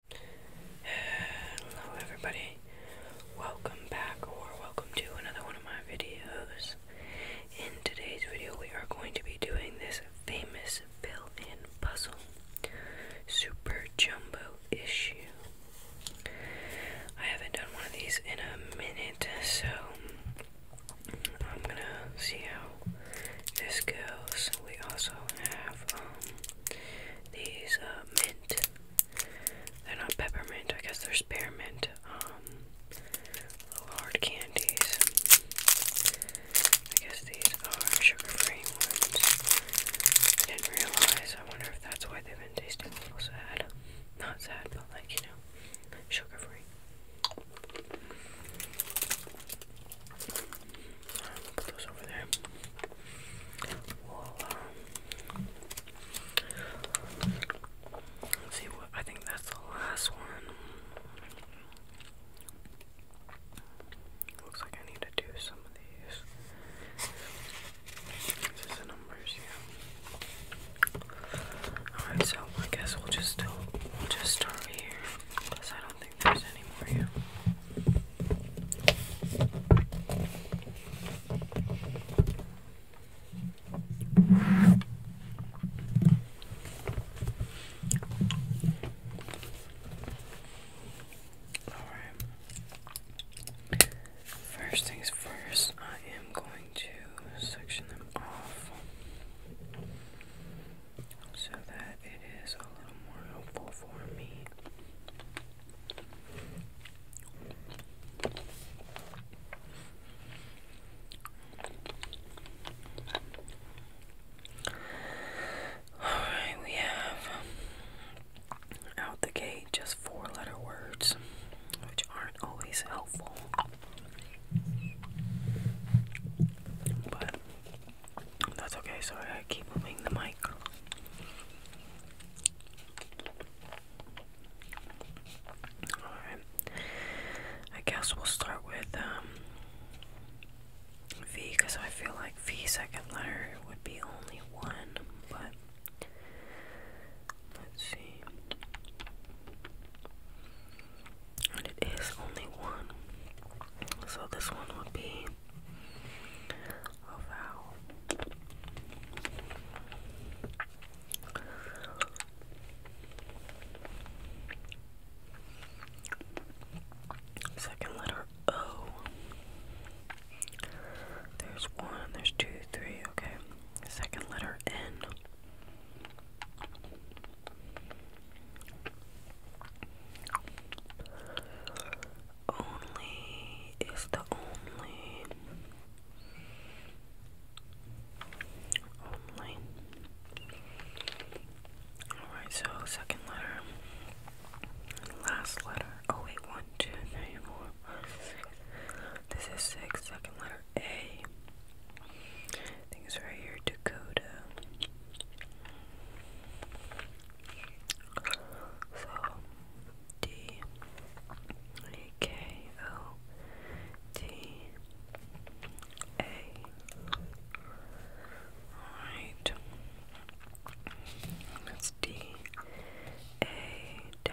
Hello everybody, welcome back or welcome to another one of my videos. In today's video we are going to be doing this famous fill-in puzzle, Super Jumbo Issue. I haven't done one of these in a minute, so I'm gonna see how this goes. We also have um, these uh, mint. They're not peppermint. I guess they're spearmint. Um, little hard candies. I guess these are sugar-free ones. I didn't realize. I wonder if that's why they've been tasting a little sad. Not sad, but like you know, sugar-free i put those over there. We'll, see what I think that's the last one. Looks like I need to do some of these. This is the numbers, yeah. Alright, so I guess we'll just do, we'll just start here think there's any more here. Alright. First things first, I am going to section them off so that it is a little more helpful for me. Alright, we have out the gate just four letter words, which aren't always helpful. But that's okay, sorry, I keep moving the mic. Alright. I guess we'll start with um, V because I feel like V second letter would be only one, but let's see. And it is only one. So this one would be of oh, how second letter O. There's one, there's two, three, okay. Second letter N. Only is the only only. Alright, so second letter. Last letter. Oh wait, one, two, three, four, five, six. This is six. Second letter A. I right here, Dakota. So D A K O D A. Alright. That's D A da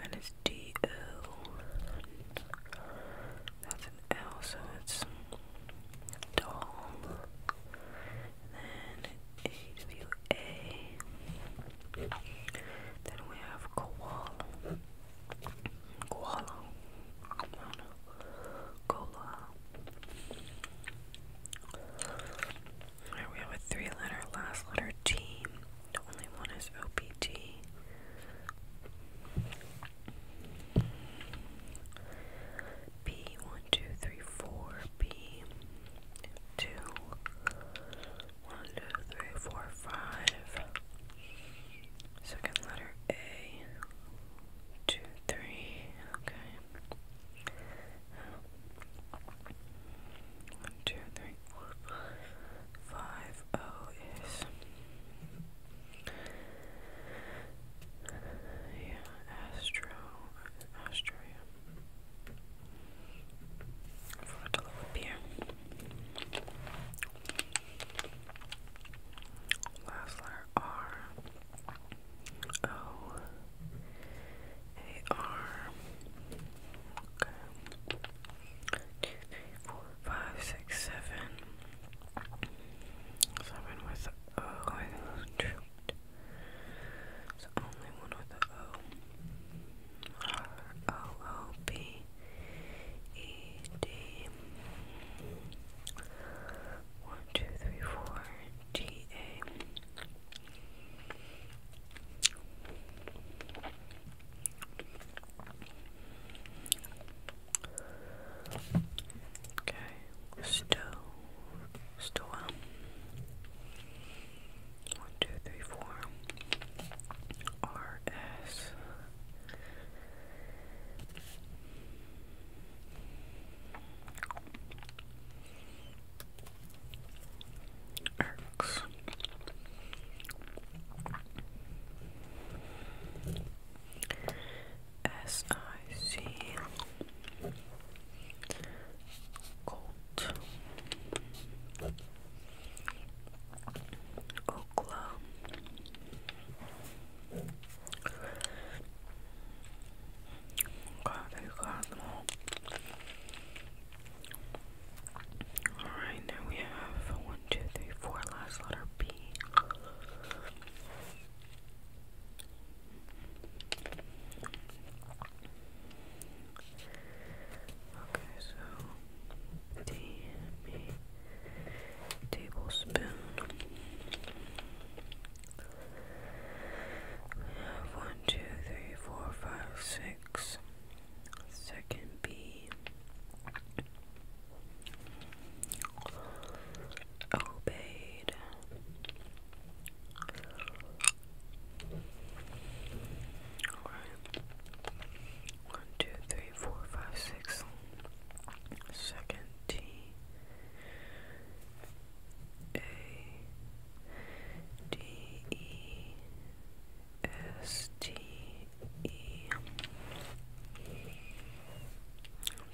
That is is D L. That's an L, so it's doll. And then W A. Then we have koala. Koala. I don't know. Koala. Alright, we have a three letter last letter team. The only one is OPT. B one two three four B two one two three four five second letter A two three okay one, two, three, four, five. O oh, is yeah, Astro, Astro. Yeah. For it to look up here. Last letter R O A R. Okay two, three, four, five, six, seven. Seven with the O. I think it was two. It's the only one with the O. R O O B E D. One, two, three, four. T A. Okay, stove, stove. One, two, three, four. R S. X. S I C Colt Okla God, I Alright, now we have one, two, three, four, last letter B. Okay, so D B tablespoon. We have one, two, three, four, five, six so it obeyed. Alright. One, two, three, four, five, six. Second T A D E S T E one,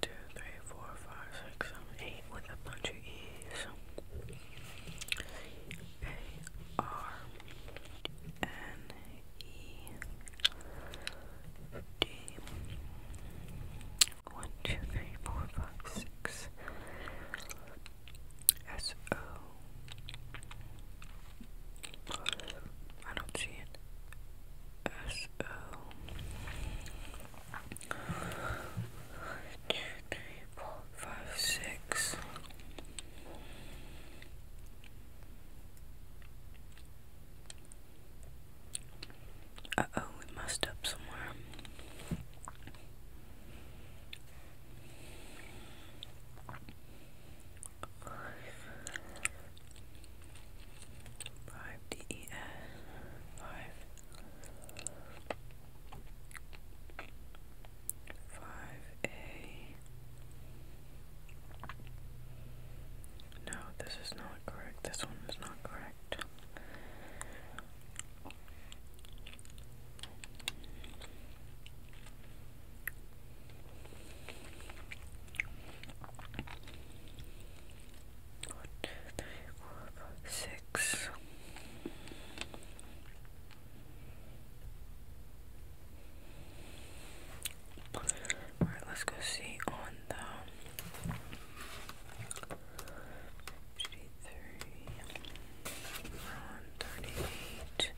two, three, four, five, six, seven, eight with a bunch of E's. A R N E D one, two, three, four, five, six. S O. I don't see it. S O. One, two, three, four, five, six. Uh oh, we messed up somewhere. Five D E S five five A No, this is not correct. This one is not correct. One, two, three, four, five, six. Alright, let's go see on the 33, around 38.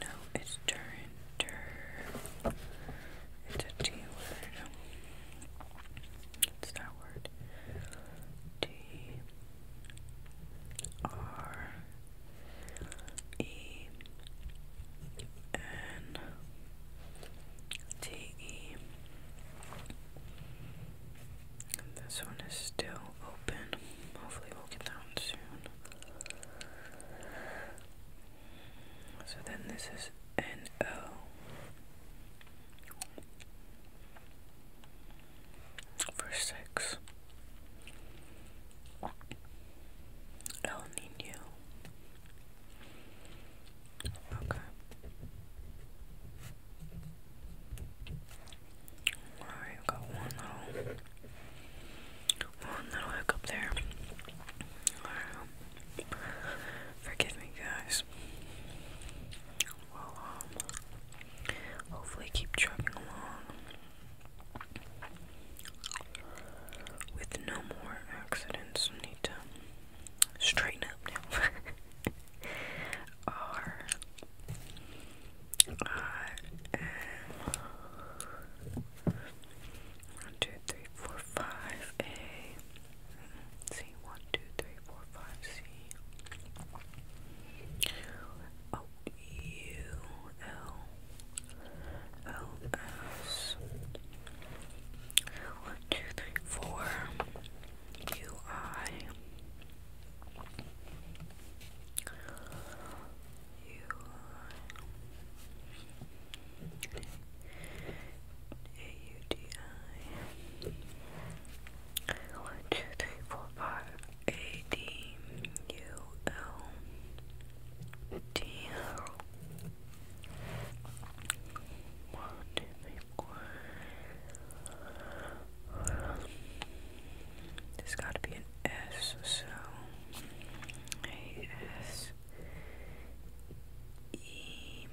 No, it's turn, It's a T word. It's that word. T R E N T E this one is still open. Hopefully, we'll get that one soon. So then this is NO. For six, El Nino, Okay. Alright, got one little one little hiccup there. Alright. Forgive me guys. Well um hopefully keep trucking along with no more accidents. Nita straighten up now. two three four five A C one two three four five C O U L L S one, two, three, four. UI. UI. A-U-D-I. One, two, three, four, five. A-D-U-L. D-L. One, two, three, four. There's got to be an S, so A S E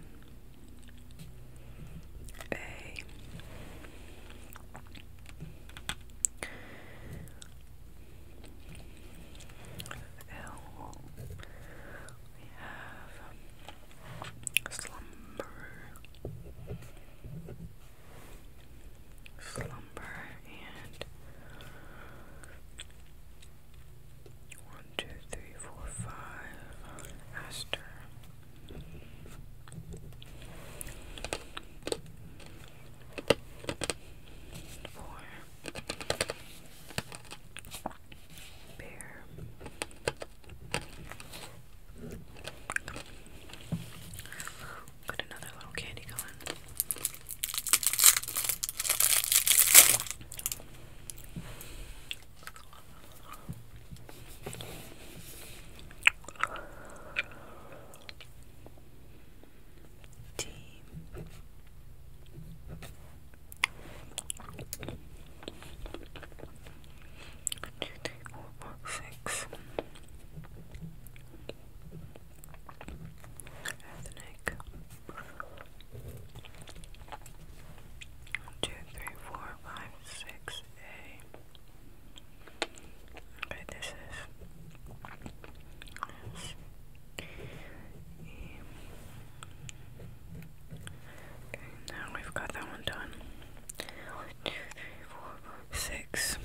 A. L. We have slumber, slumber, and one, two, three, four, five, aster. Four. Bear. Got another little candy going. T Two, three, four, five, six. At the neck. One, two, three, four, five, six, A. Okay, this is. Okay, now we've got that one done. One, two, three, four, five, six.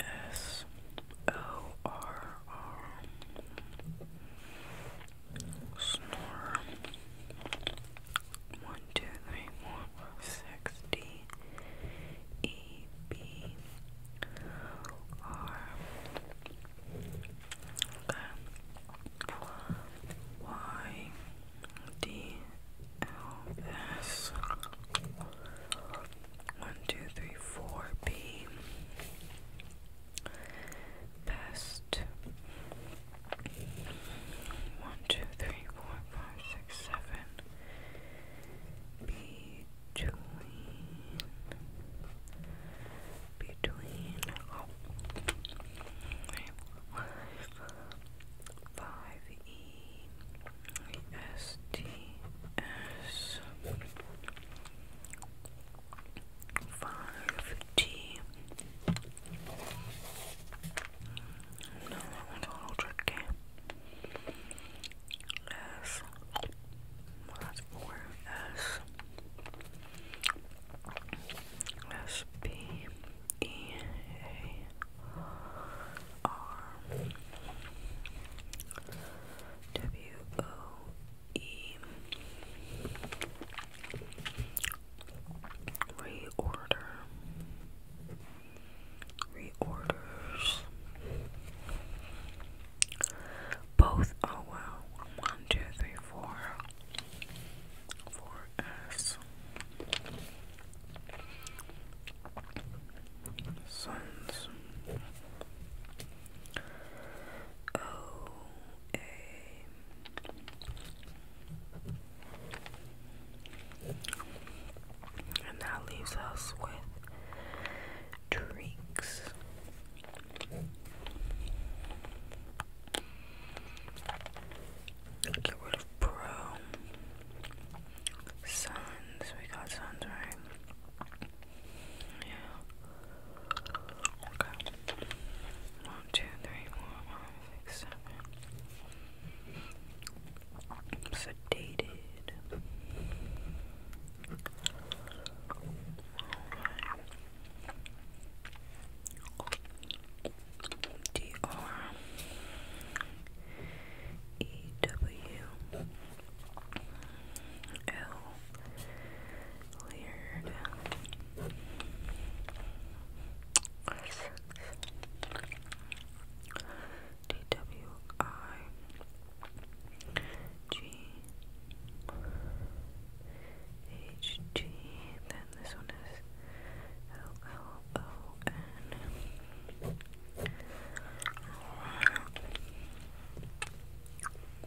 S O R R. Snore. One, two, three, four, five, six. D E B R Okay. Y D L S one two three four B best one two three four five six seven B between between oh, five E S T S five T no that one's a little S well, Reorder Reorders both, oh one, two, three, four, four S. Sons. O A. And that leaves us with drinks. Get rid of Pro. Suns. We got Suns, right? Yeah. Okay. One, two, three, four, five, six, seven. Sedated. D R E W L Leard D W I G H G then this one is L L O N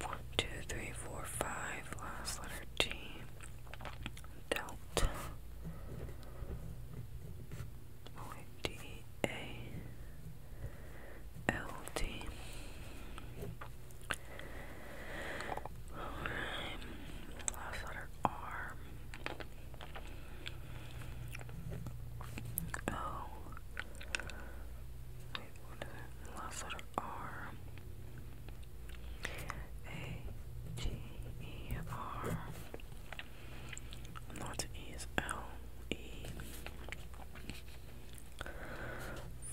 one, two, three, four, five, last letter T Delta oh, D A LD. last letter R. O. Last letter R. A. G. E. R. Not is L. E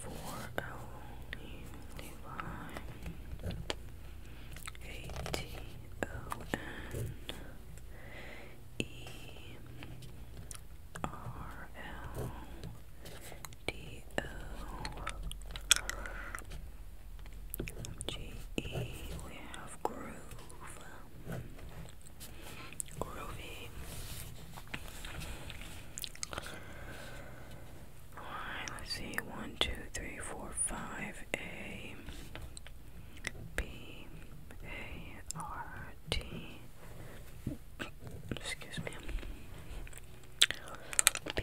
for Ellie Levi, A T O N E R L D O G E. We have groove groovy. Alright, let's see. One, two, three, four, five. A, B, A, R, T. Excuse me. B,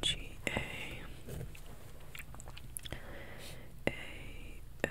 G, A, A, L,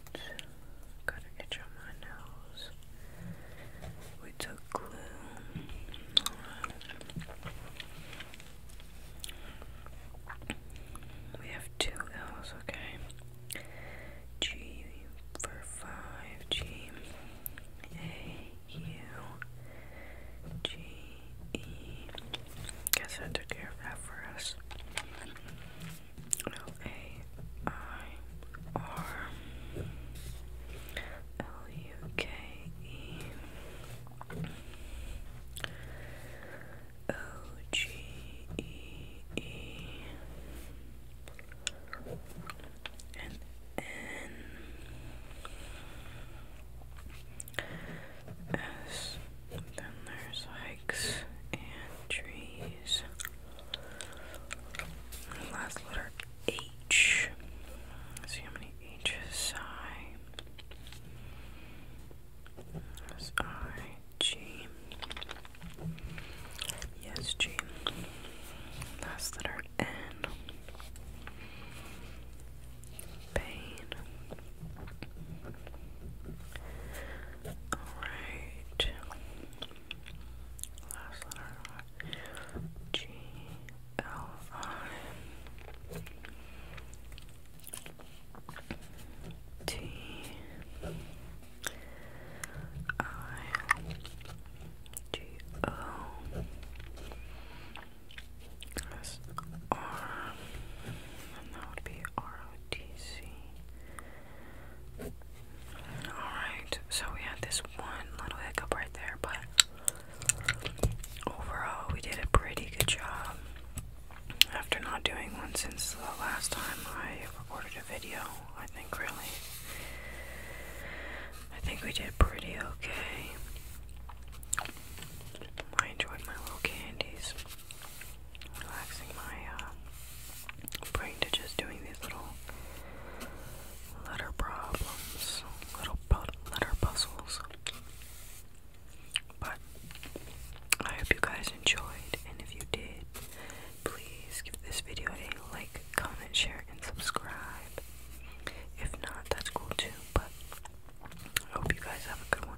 Got an itch on my nose. We took glue. We have two L's, okay? G for five, G A U G E. Guess that took care of that for us. A I R L U K E O G E E and N S. Then there's hikes and trees last letter H. see how many H's I. S I G. Yes, G. Last letter N. Pain. Alright. Last letter G L I T I G O S R and that would be R O T C Alright, so we had this one little hiccup right there, but overall we did a pretty good job. After not doing one since the last time I recorded a video, I think really. I think we did pretty okay. I enjoyed my little candies relaxing my uh, brain to just doing these little letter problems, little letter puzzles. But I hope you guys enjoyed, and if you did, please give this video a like, comment, share, and subscribe. If not, that's cool too, but I hope you guys have a good one.